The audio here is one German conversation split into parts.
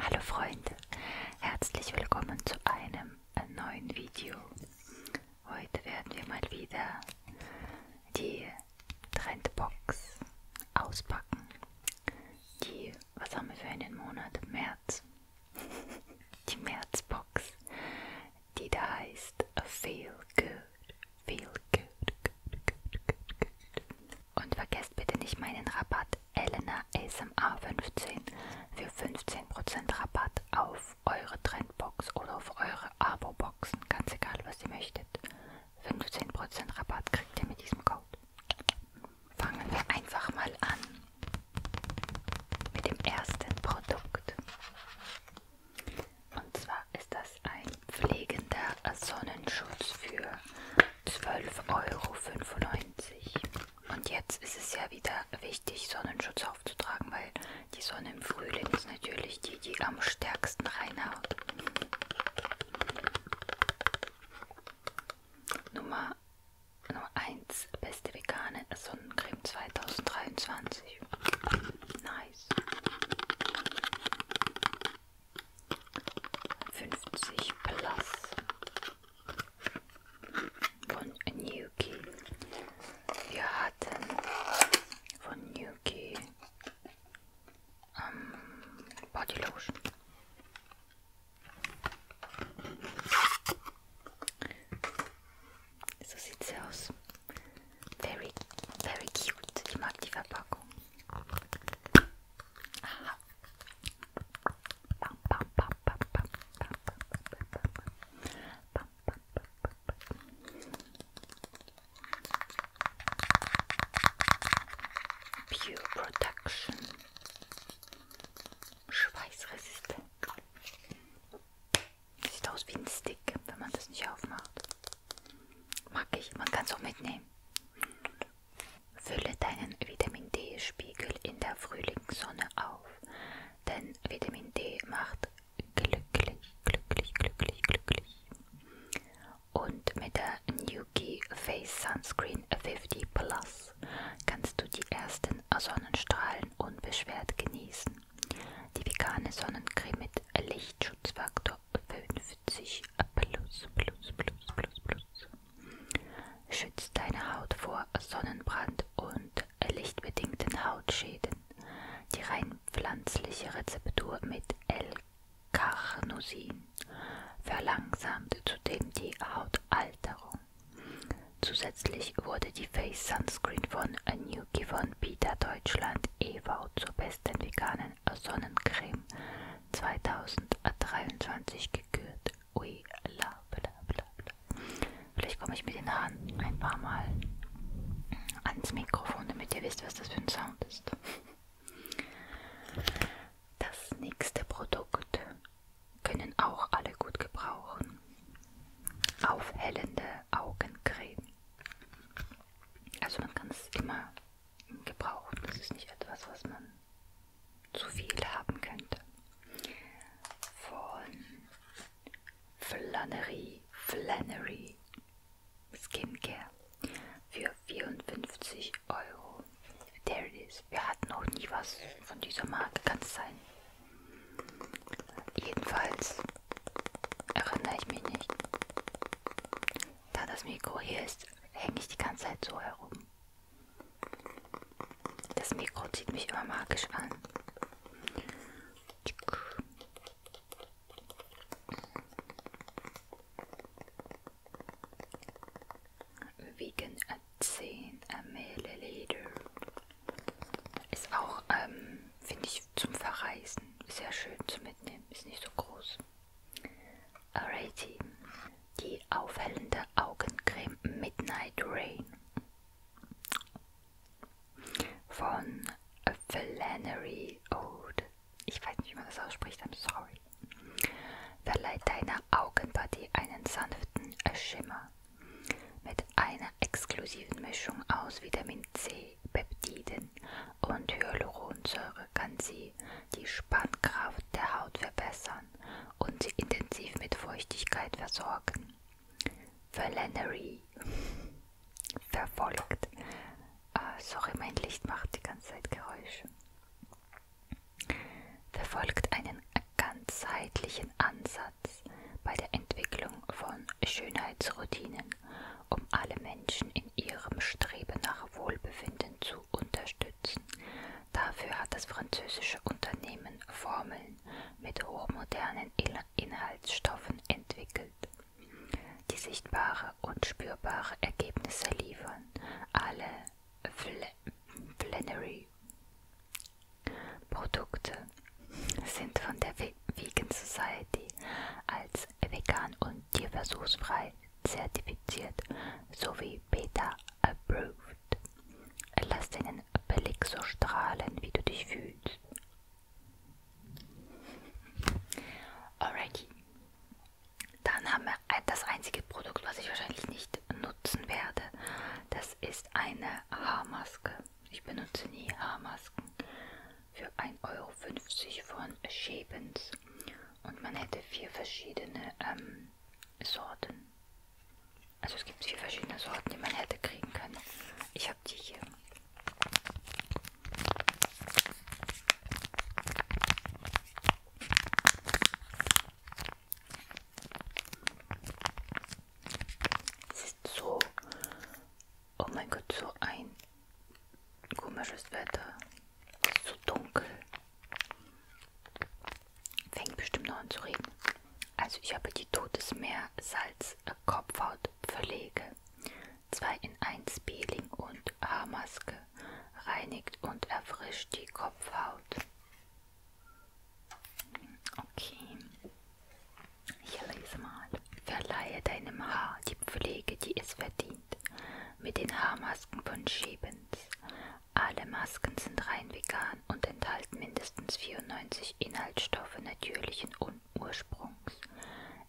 Hallo Freunde, herzlich willkommen zu einem neuen Video. Heute werden wir mal wieder die Trendbox auspacken. Die, was haben wir für einen Monat? März. Die Märzbox, die da heißt Feel Good. Feel good, good, good, good, good. Und vergesst bitte nicht meinen Rabatt Elena ASMR 15 für 15% Rabatt auf eure Trendbox oder auf eure Abo-Boxen, ganz egal was ihr möchtet. 15% Rabatt kriegt ihr mit diesem Code. Fangen wir einfach mal an mit dem ersten Produkt. Und zwar ist das ein pflegender Sonnenschutz für 12,95 Euro. Und jetzt ist es ja wieder wichtig, Sonnenschutz aufzutragen, weil die Sonne im Frühling ist natürlich die, die am stärksten reinhaut. Nummer 1, beste vegane Sonnencreme 2023. Nice. 50 Plus von Nuki. Wir hatten von Nuki ähm, Body Lotion. So sieht sie aus. Very, very cute. Ich mag die Verpackung. Aha. Pure Production. Schweißresistent. Sieht aus wie ein Stick, wenn man das nicht aufmacht. Mag ich, man kann es auch mitnehmen. Fülle deinen Vitamin D-Spiegel in der Frühlingssonne auf, denn Vitamin D macht glücklich, glücklich, glücklich, glücklich. Und mit der Nuki Face Sunscreen 50 Plus kannst du die ersten Sonnenstrahlen unbeschwert genießen. Die vegane Sonnencreme mit Lichtschutzfaktor 50 plus, plus, plus, plus, plus. Schützt deine Haut vor Sonnenbrand und lichtbedingten Hautschäden. Die rein pflanzliche Rezeptur mit L-Carnosin verlangsamt zudem die Hautalterung. Zusätzlich wurde die Face Sunscreen von Nuki von Peter Deutschland e.V. zur besten veganen Sonnencreme 2023 gekürt. Ui, la, bla, bla, bla. Vielleicht komme ich mit den Haaren ein paar Mal ans Mikrofon, damit ihr wisst, was das für ein Sound ist. Das nächste Produkt können auch alle gut gebrauchen. Aufhellende Augencreme. Also man kann es immer gebrauchen. Das ist nicht etwas, was man zu viel haben könnte. Von Flannery, Flannery Skincare für 54 Euro. There it is. Wir hatten noch nie was von dieser Marke, kann es sein. Jedenfalls erinnere ich mich nicht. Da das Mikro hier ist, hänge ich die ganze Zeit so herum. Das Mikro zieht mich immer magisch an. Vegan at 10 Milliliter. Ist auch, ähm, finde ich, zum Verreisen sehr schön zu mitnehmen. Ist nicht so groß. Alrighty, die aufhellende Augencreme Midnight Rain von Flannery Ode. Ich weiß nicht, wie man das ausspricht, I'm sorry. Verleiht deiner Augenpartie einen sanften Schimmer mit einer exklusiven Mischung aus Vitamin C, Peptiden und Hyaluronsäure kann sie die Spannkraft der Haut verbessern und sie intensiv mit Feuchtigkeit versorgen. Valerie verfolgt. Äh, sorry, mein Licht macht die ganze Zeit Geräusche. Verfolgt einen ganzheitlichen Ansatz bei der Entwicklung von Schönheitsroutinen um alle Menschen in ihrem Streben nach Wohlbefinden zu unterstützen. Dafür hat das französische Unternehmen Formeln mit hochmodernen Inhaltsstoffen entwickelt, die sichtbare und spürbare Ergebnisse liefern. Alle Flannery-Produkte sind von der Vegan Society als als vegan und tierversuchsfrei zertifiziert sowie Beta-approved. Lass deinen Blick so strahlen, wie du dich fühlst. Alrighty. Dann haben wir das einzige Produkt, was ich wahrscheinlich nicht nutzen werde. Das ist eine Haarmaske. Ich benutze nie Haarmasken für 1,50 Euro von Schäbens. Und man hätte vier verschiedene ähm, Sorten. Also es gibt vier verschiedene Sorten, die man hätte kriegen können. Ich habe die hier. Es ist so Oh mein Gott, so ein komisches Wetter. Ist so dunkel. Fängt bestimmt noch an zu regnen. Also ich habe die Todesmeer Salz Kopfhaut Verlege 2 in 1 Peeling und Haarmaske reinigt und erfrischt die Kopfhaut. Okay. Ich lese mal. Verleihe deinem Haar die Pflege, die es verdient mit den Haarmasken von Shebens. Alle Masken sind rein vegan und enthalten mindestens 94 Inhaltsstoffe natürlichen Ursprungs.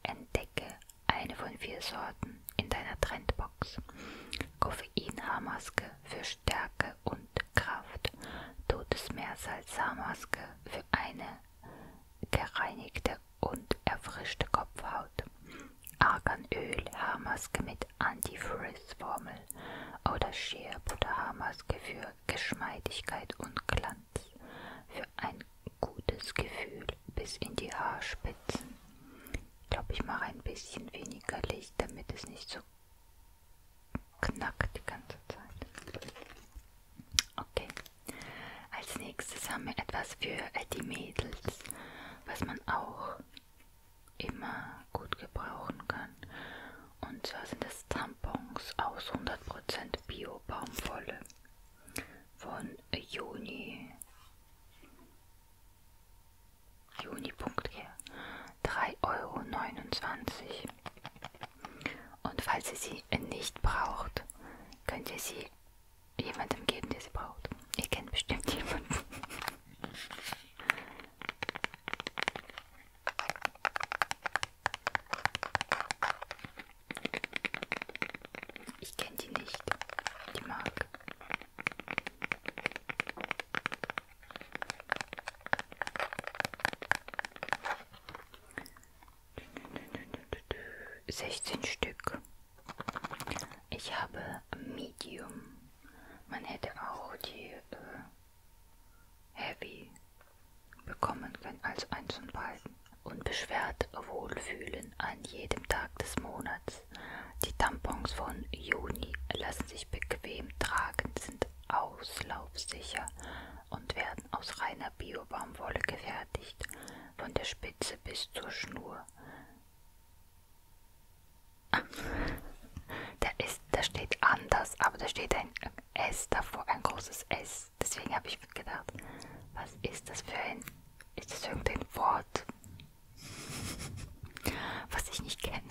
Entdecke eine von vier Sorten in deiner Trendbox. Koffein-Haarmaske für Stärke und Kraft. Totes Meersalz-Haarmaske für eine gereinigte und erfrischte Kopfhaut, Arganöl, Haarmaske mit Antifrizz-Formel oder Shea Butter Haarmaske für Geschmeidigkeit und Glanz, für ein gutes Gefühl bis in die Haarspitzen. Ich glaube, ich mache ein bisschen weniger Licht, damit es nicht so knackt die ganze Zeit. Okay. Als nächstes haben wir etwas für die Mädels, was man auch immer gut gebrauchen kann. Und zwar sind es Tampons aus 100% Bio-Baumwolle von Juni. Juni.care 3,29 Euro. Und falls ihr sie nicht braucht, könnt ihr sie jemandem geben, der sie braucht. Ihr kennt bestimmt jemanden. Ich kenne die nicht, die Mark. 16 Stück. Ich habe Medium. Man hätte auch die äh, Heavy bekommen können, also eins von beiden. Unbeschwert wohlfühlen an jedem Tag des Monats. Die Tampons von Juni lassen sich bequem tragen, sind auslaufsicher und werden aus reiner Bio-Baumwolle gefertigt von der Spitze bis zur Schnur. da, ist, da steht anders, aber da steht ein S davor, ein großes S. Deswegen habe ich gedacht, was ist das für ein, ist das irgendein Wort, was ich nicht kenne?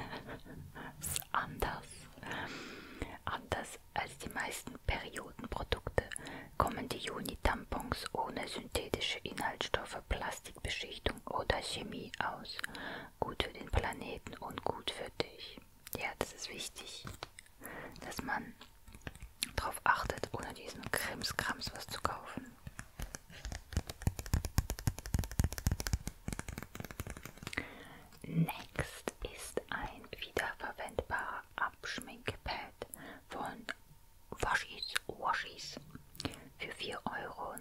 Das ist anders. Anders als die meisten Periodenprodukte kommen die Juni-Tampons ohne synthetische Inhaltsstoffe, Plastikbeschichtung oder Chemie aus. Gut für den Planeten und gut für dich. Ja, das ist wichtig, dass man darauf achtet, ohne diesen Krimskrams was zu kaufen. Next ist ein wiederverwendbarer Abschminkpad von Waschis Waschis für 4,99 Euro.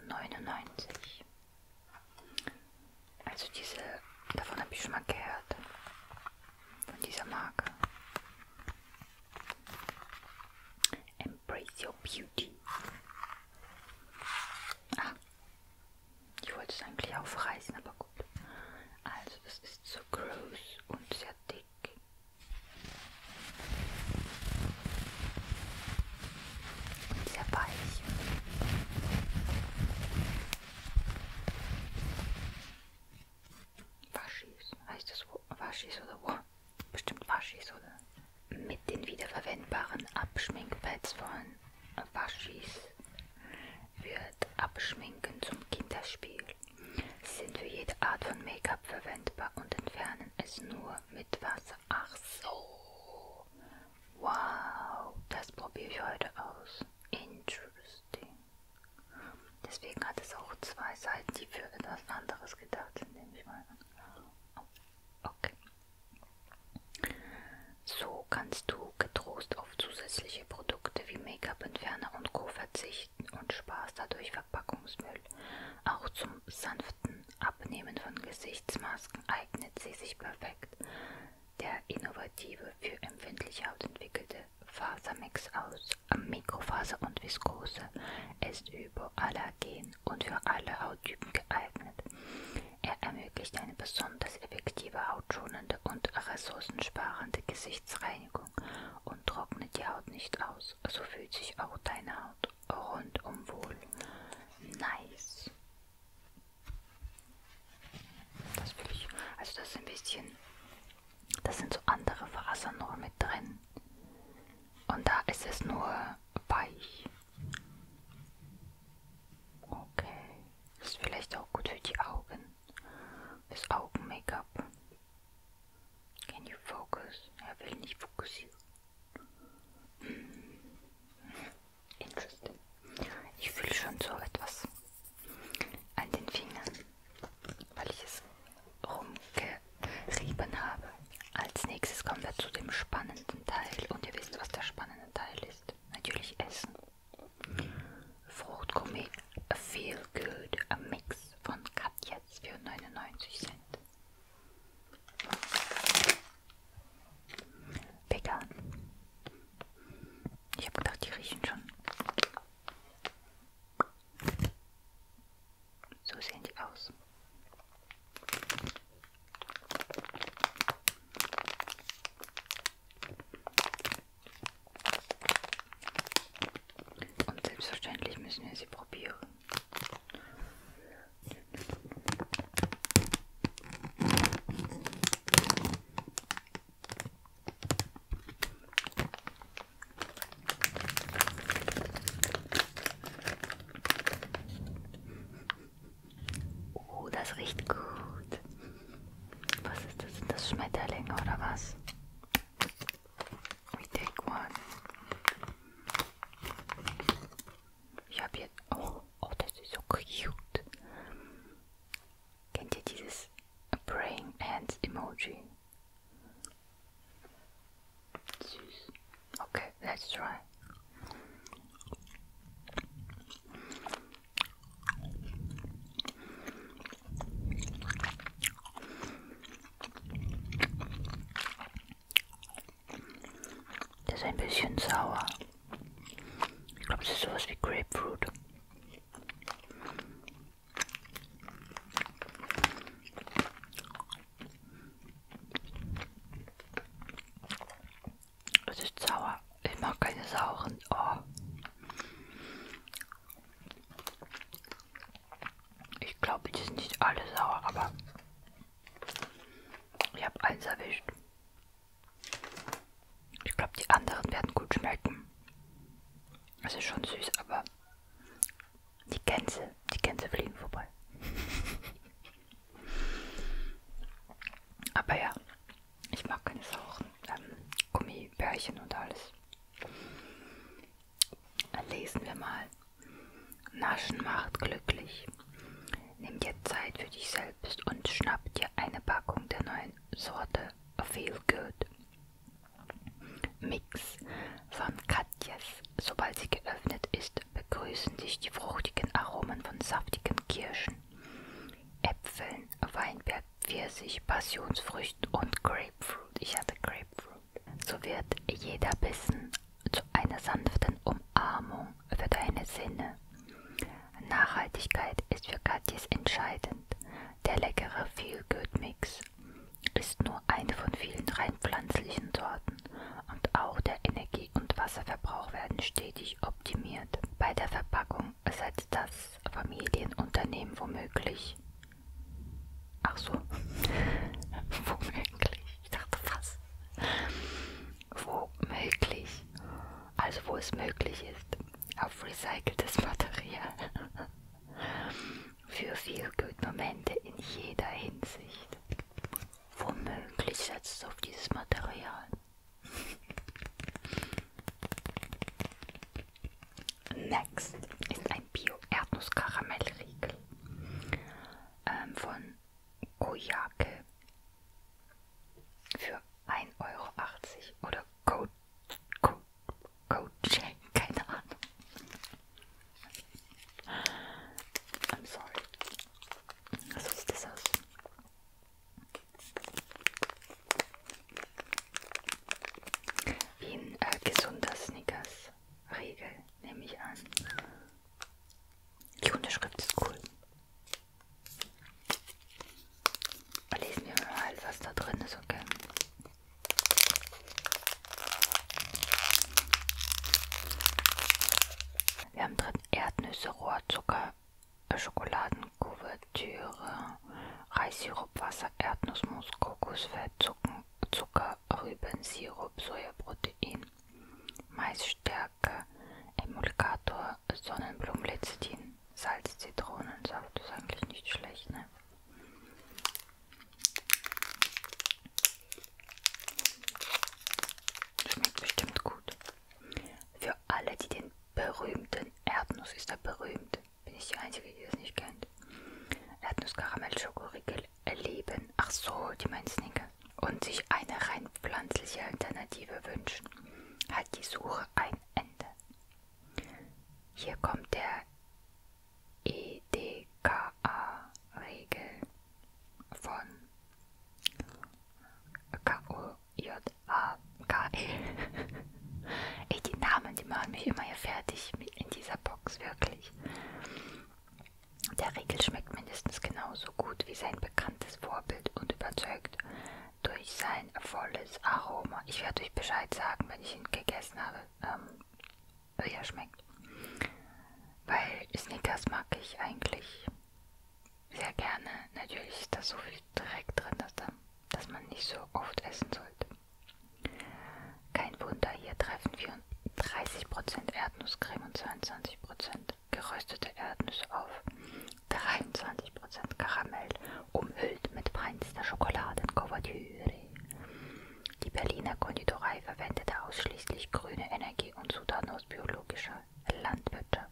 Also diese, davon habe ich schon mal gehört. Von dieser Marke. Embrace Your Beauty. Ah, ich wollte es eigentlich aufreißen, aber gut. Also das ist so groß und sehr dick. Und sehr weich. Waschis, heißt das Waschis oder wo? Bestimmt Waschis, oder? Mit den wiederverwendbaren Abschminkpads von Waschis wird Abschminken zum Kinderspiel. Sie sind für jede Art von Make-up verwendbar und entfernen es nur mit Wasser. Ach so. Wow. Das probiere ich heute aus. Interesting. Deswegen hat es auch zwei Seiten, die für etwas anderes gedacht sind, nehme ich mal an. Okay. So kannst du getrost auf zusätzliche Produkte wie Make-up-Entferner und Co. verzichten. Verzichten und Spaß dadurch Verpackungsmüll. Auch zum sanften Abnehmen von Gesichtsmasken eignet sie sich perfekt. Der innovative, für empfindliche Haut entwickelte Fasermix aus Mikrofaser und Viskose ist überallergen und für alle Hauttypen geeignet. Er ermöglicht eine besonders effektive, hautschonende und ressourcensparende Gesicht Gesichtsreinigung und trocknet die Haut nicht aus. So fühlt sich auch deine Haut rundum wohl. Nice. Das will ich. Also das ist ein bisschen. Das sind so andere Fasern noch mit drin. Und da ist es nur weich. Okay. Ist vielleicht auch gut für die Augen. Das Augen-Make-up. Can you focus? Er will nicht fokussieren. Hm. Interesting. Ich fühle schon so etwas an den Fingern, weil ich es rumgerieben habe. Als nächstes kommen wir zu dem spannenden Teil und ihr wisst, was der spannende Teil ist. Natürlich Essen. Fruchtgummi Feel Good, a Mix von Katja Platz für 99 Cent. Vegan. Ich habe gedacht, die riechen schon. So sehen die aus. Und selbstverständlich müssen wir sie probieren. Oh, das riecht gut. Was ist das? Sind das Schmetterlinge oder was? We take one. Ich jetzt, oh, oh, das ist so cute. Kennt ihr dieses Brain Hands Emoji? Okay, let's try. Der ist ein bisschen sauer. Ich glaube, es ist sowas wie Grapefruit. Es ist sauer. Ich mag keine sauren. Oh. Ich glaube, die sind nicht alle sauer, aber ich habe eins erwischt. Ich glaube, die anderen werden gut schmecken. Es ist schon süß, aber die Gänse, die Gänse fliegen vorbei. aber ja, ich mag keine sauren ähm, Gummibärchen und alles. Lesen wir mal. Naschen macht glücklich. Nimm dir Zeit für dich selbst und schnapp dir eine Packung der neuen Sorte Feel Good Mix von Katjes. Sobald sie geöffnet ist, begrüßen dich die fruchtigen Aromen von saftigen Kirschen, Äpfeln, Weinberg, Pfirsich, Passionsfrüchten und Grapefruit. Ich hatte Grapefruit. So wird jeder Bissen zu einer sanften Umarmung für deine Sinne. Nachhaltigkeit ist für Katjes entscheidend. Der leckere Feel Good Mix ist nur eine von vielen rein pflanzlichen Sorten und auch der Energie- und Wasserverbrauch werden stetig optimiert. Bei der Verpackung setzt das Familienunternehmen womöglich Ach so. Womöglich. Ich dachte, was? Womöglich. Also, wo es möglich ist. Auf recyceltes Material. Für viel Momente in jeder Hinsicht. Womöglich setzt es auf dieses Material. Next ist ein Bio-Erdnuss-Karamellriegel ähm, von Koyake für 1,80 Euro oder Coach, Co Co keine Ahnung. I'm sorry. So sieht das aus. Wie ein äh, gesunder Snickers. Regel, nehme ich an. Die Unterschrift ist cool. Lesen wir mal, was da drin ist, okay? Wir haben drin Erdnüsse, Rohrzucker, äh, Schokoladenkuvertüre, Reissirup, Wasser, Erdnussmus, Kokosfett, Zucker, Rübensirup, Sojaprotein, Maisstärke, Emulgator, Sonnenblumenlecithin, Salz, Zitronensaft ist eigentlich nicht schlecht, ne? Schmeckt bestimmt gut. Für alle, die den berühmten Erdnuss ist er berühmt kennt. Bin ich die Einzige, die das nicht kennt? Erdnuss-Karamell-Schokoriegel erleben. Ach so, die meinen Snickers. Und sich eine rein pflanzliche Alternative wünschen. Hat die Suche ein Ende. Hier kommt der EDKA-Regel von KOJA. -E. Ey, die Namen, die machen mich immer hier fertig in dieser dieser Box, wirklich. Der Riegel schmeckt mindestens genauso gut wie sein bekanntes Vorbild und überzeugt durch sein volles Aroma. Ich werde euch Bescheid sagen, wenn ich ihn gegessen habe, ähm, wie er schmeckt. Weil Snickers mag ich eigentlich sehr gerne. Natürlich ist da so viel Dreck drin, dass, da, dass man nicht so oft essen sollte. Kein Wunder, hier treffen 30% Erdnusscreme und 22% geröstete Erdnüsse auf, 23% Karamell, umhüllt mit feinster Schokoladenkuvertüre. Die Berliner Konditorei verwendete ausschließlich grüne Energie und Zutaten aus biologischer Landwirtschaft.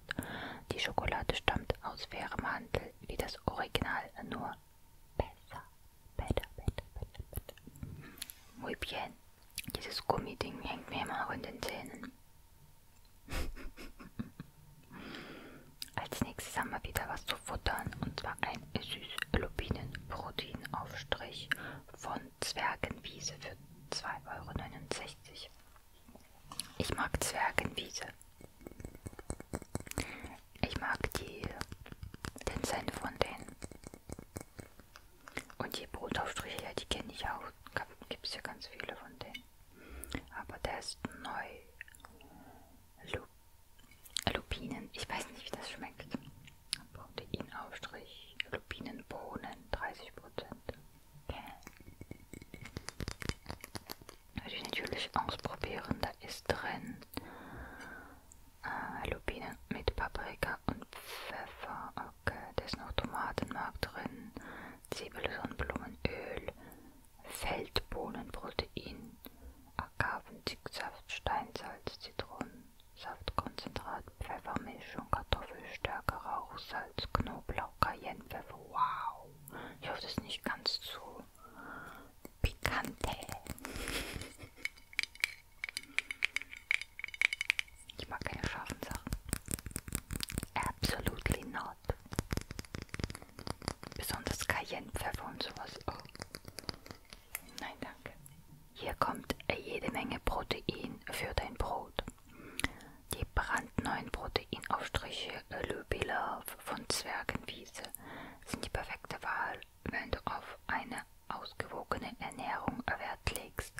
Die Schokolade stammt aus fairem Handel, wie das Original, nur besser, besser, besser, besser, besser. Muy bien. Dieses Gummiding hängt mir immer noch in den Zähnen. Als nächstes haben wir wieder was zu futtern und zwar ein Süß-Lupinen-Proteinaufstrich von Zwergenwiese für 2,69 Euro. Ich mag Zwergenwiese. Ich mag die, den Cent von denen. Und die Brotaufstriche, ja, die kenne ich auch. Gibt es ja ganz viele von denen. Aber der ist neu. Lu Lupinen. Ich weiß nicht, wie das schmeckt. Proteinaufstrich. Lupinenbohnen. 30%. Okay. Würde ich natürlich ausprobieren. Da ist drin äh, Lupine mit Paprika und Pfeffer. Okay, da ist noch Tomatenmark drin, Zwiebeln, Sonnenblumenöl, Feldbohnen, Protein, Agaven, Zicksaft, Steinsalz, Zitronen. Saftkonzentrat, Pfeffermischung, Kartoffelstärke, Rauchsalz, Knoblauch, Cayennepfeffer. Wow! Ich hoffe, das ist nicht ganz zu pikante. Ich mag keine scharfen Sachen. Absolutely not. Besonders Cayennepfeffer und sowas. Oh. Nein, danke. Hier kommt jede Menge Protein für dein Brot. Die brandneuen Proteinaufstriche äh, Löbilov von Zwergenwiese sind die perfekte Wahl wenn du auf eine ausgewogene Ernährung Wert legst.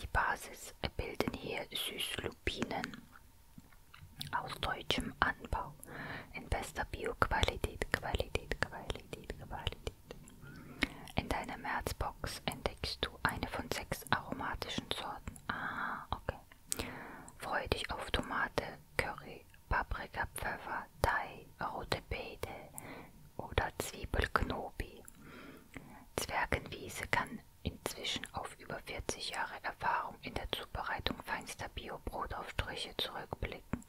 Die Basis bilden hier Süßlupinen aus deutschem Anbau in bester Bioqualität, Qualität, Qualität, Qualität. In deiner Märzbox entdeckst du eine von sechs aromatischen Sorten. Ah, okay. Freue dich auf Tomate, Curry, Paprika, Pfeffer, Thai, rote Beete oder Zwiebelknobi. Zwergenwiese kann inzwischen auf über 40 Jahre Erfahrung in der Zubereitung feinster Bio-Brotaufstriche zurückblicken.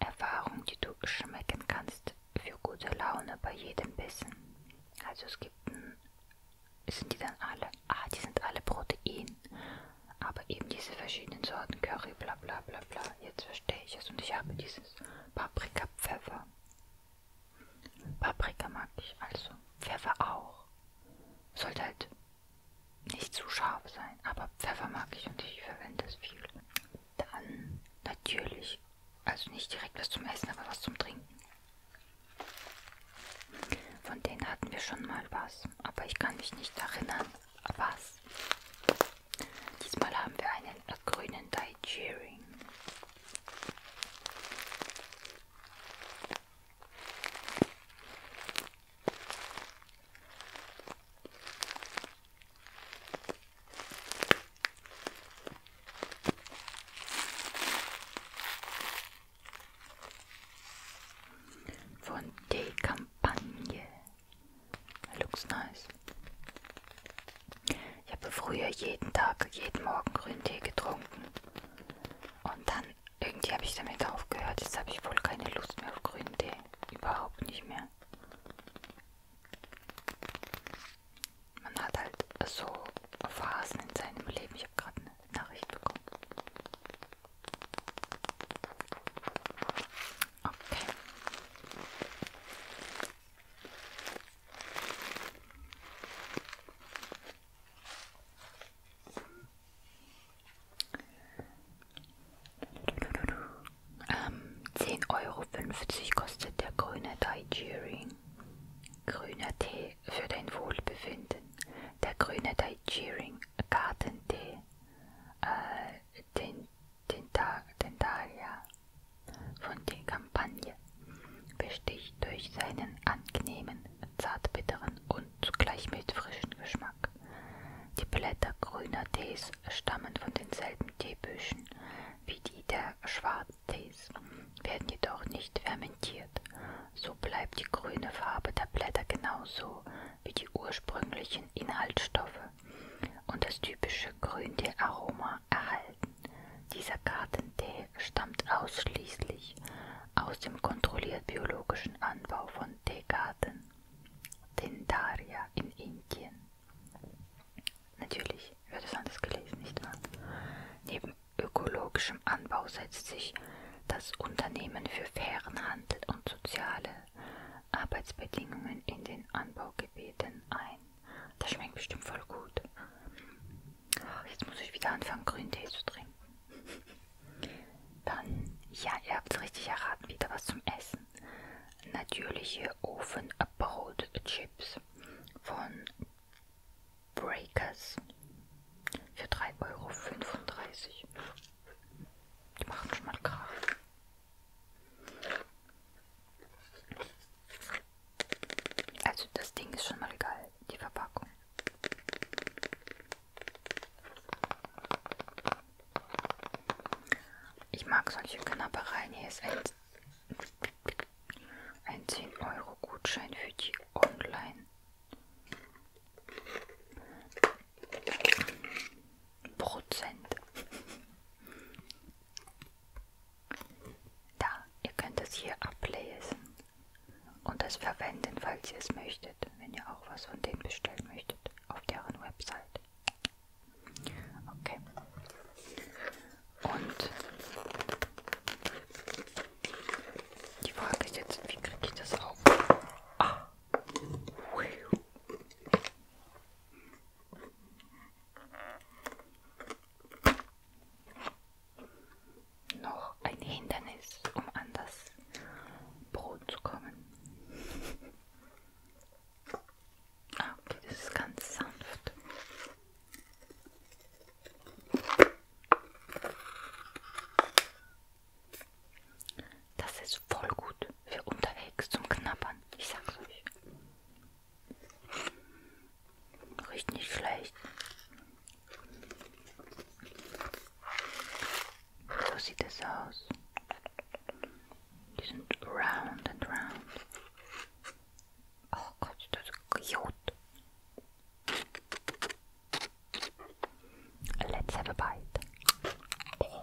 Erfahrung, die du schmecken kannst für gute Laune bei jedem Bissen. Also es gibt, sind die dann alle, ah, die sind alle Protein aber eben diese verschiedenen Sorten Curry, bla bla bla bla. Jetzt verstehe ich es und ich habe dieses Paprika-Pfeffer. Paprika mag ich also, Pfeffer auch. Sollte halt nicht zu scharf sein, aber Pfeffer mag ich und ich verwende es viel. Dann natürlich, also nicht direkt was zum Essen, aber was zum Trinken. Von denen hatten wir schon mal was, aber ich kann mich nicht erinnern, was. Diesmal haben wir einen grünen Daijering. Von der Kampagne Looks nice. Ich habe früher jeden Tag, jeden Morgen grünen Tee getrunken. Und dann, irgendwie habe ich damit aufgehört. Jetzt habe ich wohl keine Lust mehr auf grünen Tee. Überhaupt nicht mehr. Man hat halt so Phasen in seinem Leben. Ich habe gerade eine Nachricht bekommen. Okay. Ähm, 10,50 Euro kostet der grüne Daijiring. Grüner Tee für dein Wohlbefinden. Der grüne Daijiring Gartentee, äh, den den Tag Dentaria von der Kampagne besticht durch seinen angenehmen, zartbitteren und zugleich mit frischen Geschmack. Die Blätter grüner Tees stammen von denselben Teebüschen wie die der Schwarztees, werden jedoch nicht fermentiert. So bleibt die grüne Farbe der Blätter genauso wie die ursprünglichen Inhaltsstoffe und das typische Grüntee-Aroma erhalten. Dieser Gartentee stammt ausschließlich aus dem kontrolliert biologischen Anbau von Teegarten, Tendaria in Indien. Natürlich wird es anders gelesen, nicht wahr? Neben ökologischem Anbau setzt sich das Unternehmen für fairen Handel und soziale Arbeitsbedingungen in den Anbaugebieten ein. Das schmeckt bestimmt voll gut. Oh, jetzt muss ich wieder anfangen, Grüntee zu trinken. Dann, ja, ihr habt es richtig erraten, wieder was zum Essen. Natürliche Ofenbrotchips von Breakers für 3,35 Euro. Die machen schon mal Krach. Also das Ding ist schon mal geil, die Verpackung. Ich mag solche Knappereien. Hier ist ein, ein 10-Euro-Gutschein für die Online. Prozent. Da, ihr könnt es hier ablesen und es verwenden, falls ihr es möchtet, wenn ihr auch was von denen bestellen möchtet, auf deren Website. Okay. Und die Frage ist jetzt, wie kriege ich das auf? Ah. Noch ein Hindernis, um an das Brot zu kommen. Ah, okay, das ist ganz sanft. Das ist voll gut für unterwegs zum Knappern. Ich sag's euch. Riecht nicht schlecht. So sieht es aus. Die sind round and round. Oh Gott, das ist Jod. Let's have a bite. Oh.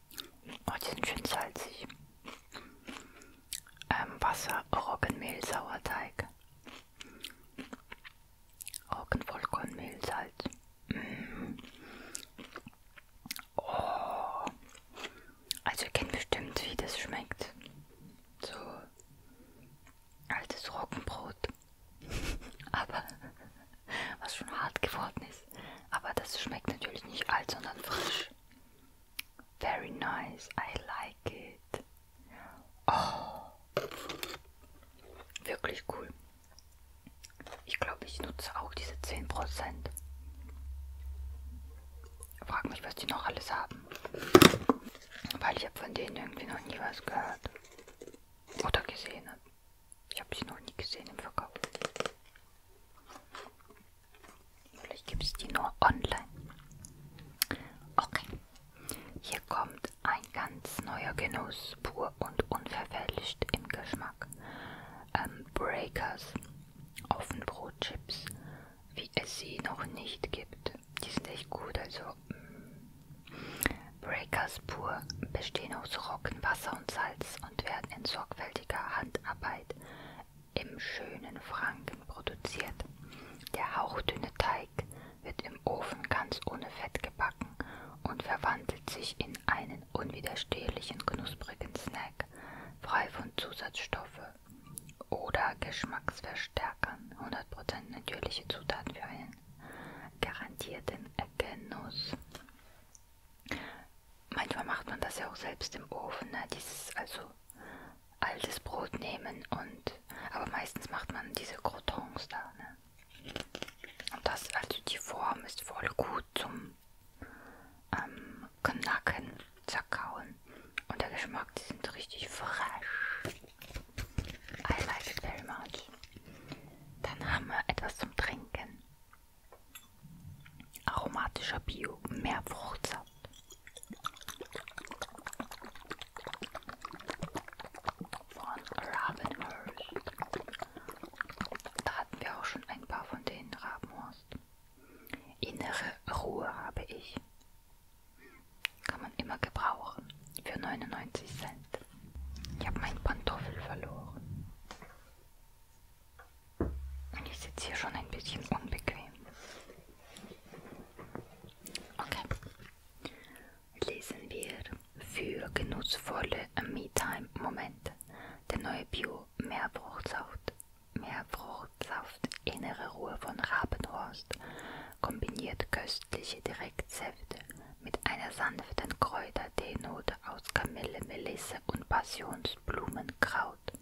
Oh, die sind schön salzig. Ähm, Wasser, Roggenmehl, Sauerteig. Roggenvollkornmehl, Salz. Mm. Oh. Also ihr kennt bestimmt, wie das schmeckt. So altes Roggenbrot. Aber was schon hart geworden ist. Aber das schmeckt natürlich nicht alt, sondern frisch. Very nice, I like it. Oh, wirklich cool. Ich glaube, ich nutze auch diese 10%. Frag mich, was die noch alles haben. Weil ich habe von denen irgendwie noch nie was gehört. Oder gesehen. Ich habe sie noch nie gesehen im Verkauf. Vielleicht gibt es die nur online. Okay. Hier kommt ein ganz neuer Genuss, pur und unverfälscht im Geschmack. Ähm, Breakers, Ofenbrotchips, wie es sie noch nicht gibt. Die sind echt gut, also mm. Breakers pur bestehen aus Roggenwasser und Salz und werden in sorgfältiger Handarbeit im schönen Franken produziert. Der hauchdünne Teig wird im Ofen ganz ohne Fett gebacken und verwandelt sich in einen unwiderstehlichen, knusprigen Snack, frei von Zusatzstoffe oder Geschmacksverstärkern, 100% natürliche Zutaten für einen garantierten Genuss. Manchmal macht man das ja auch selbst im Ofen, ne? dieses also altes Brot nehmen und aber meistens macht man diese Crotons da, ne? Und das, also die Form ist voll gut zum ähm, Knacken, zerkauen. Und der Geschmack, die sind richtig fresh. I like it very much. Dann haben wir etwas zum Trinken. Aromatischer Bio, mehr Fruchtsaft. Von Ravenhurst. Da hatten wir auch schon ein paar von denen, Rabenhurst. Innere Ruhe habe ich. Kann man immer gebrauchen. Für 99 Cent. Ich habe meinen Pantoffel verloren. Ich sitze hier schon ein bisschen unbequem. Okay. Lesen wir für genutzvolle Me-Time-Momente. Der neue Bio-Meerfruchtsaft. Meerfruchtsaft Innere Ruhe von Rabenhorst kombiniert köstliche Direktsäfte mit einer sanften Kräuter-Teenote aus Kamille, Melisse und Passionsblumenkraut Haut.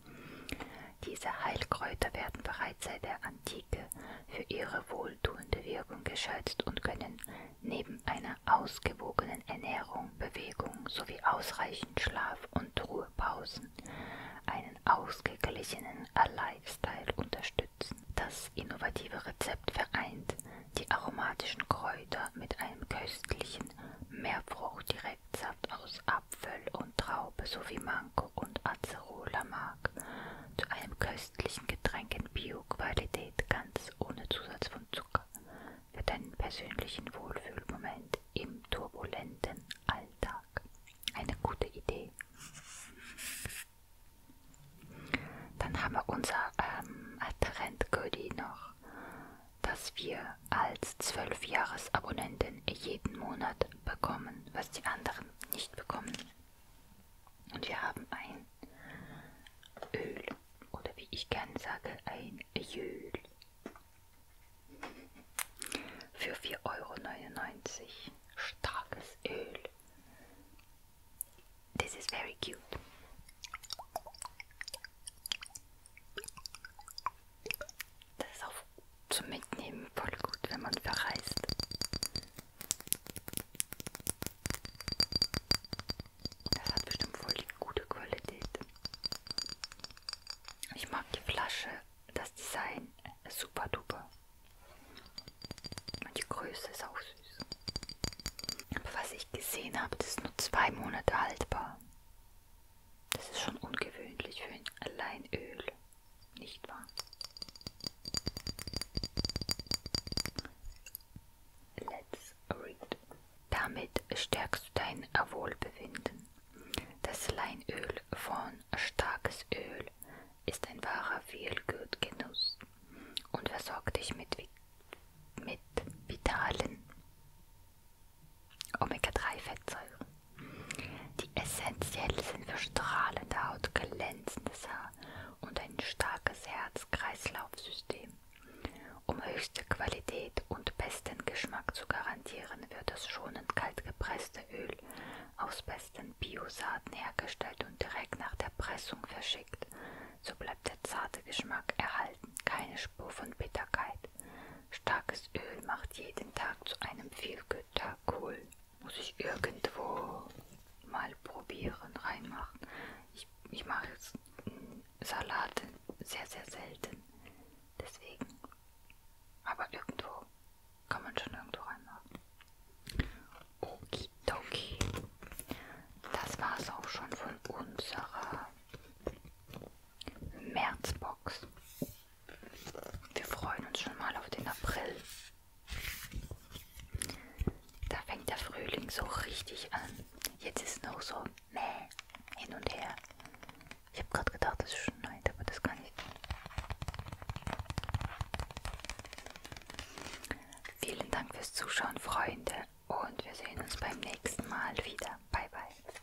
Diese Heilkräuter werden bereits seit der Antike für ihre wohltuende Wirkung geschätzt und können neben einer ausgewogenen Ernährung, Bewegung sowie ausreichend Schlaf- und Ruhepausen einen ausgeglichenen Lifestyle unterstützen. Das innovative Rezept vereint die aromatischen Kräuter mit einem köstlichen Meerfruchtdirektsaft aus Apfel und Traube sowie Mango und Acerola-Mark zu einem köstlichen Getränk in Bio-Qualität ganz ohne Zusatz von Zucker für deinen persönlichen Wohlfühlmoment im turbulenten Alltag. Eine gute Idee. Dann haben wir unser ähm, Trendgoodie noch das wir als Zwölfjahresabonnenten jeden Monat bekommen, was die anderen nicht bekommen. Und wir haben ein Öl oder wie ich gerne sage, ein Öl für 4,99 Euro. Starkes Öl. This is very cute. Das ist auch zum Mitnehmen voll gut, wenn man verreist. Das hat bestimmt voll die gute Qualität. Ich mag die Flasche, das Design ist super duper. Und die Größe ist auch süß. Aber was ich gesehen habe, das ist nur zwei Monate haltbar. Das ist schon ungewöhnlich für ein Alleinöl, nicht wahr? Let's read. Damit stärkst du dein Wohlbefinden. Das Leinöl von starkes Öl ist ein wahrer Feelgood-Genuss und versorgt dich mit, mit vitalen Omega-3-Fettsäuren, die essentiell sind für strahlende Haut, glänzendes Haar und ein starkes Herz-Kreislauf-System. Um höchste Qualität und besten Geschmack zu garantieren, wird das schonend kalt gepresste Öl aus besten Biosaaten hergestellt und direkt nach der Pressung verschickt. So bleibt der zarte Geschmack erhalten, keine Spur von Bitterkeit. Starkes Öl macht jeden Tag zu einem Fehlgüter. Cool. Muss ich irgendwo mal probieren, reinmachen. Ich, ich mache jetzt Salate sehr, sehr selten. Deswegen. Aber irgendwo kann man schon irgendwo reinmachen. Okidoki. Das war's auch schon von unserer Märzbox. Wir freuen uns schon mal auf den April. Da fängt der Frühling so richtig an. Jetzt ist noch so mäh, hin und her. Ich habe gerade gedacht, es schneit, aber das kann ich. Vielen Dank fürs Zuschauen, Freunde. Und wir sehen uns beim nächsten Mal wieder. Bye, bye.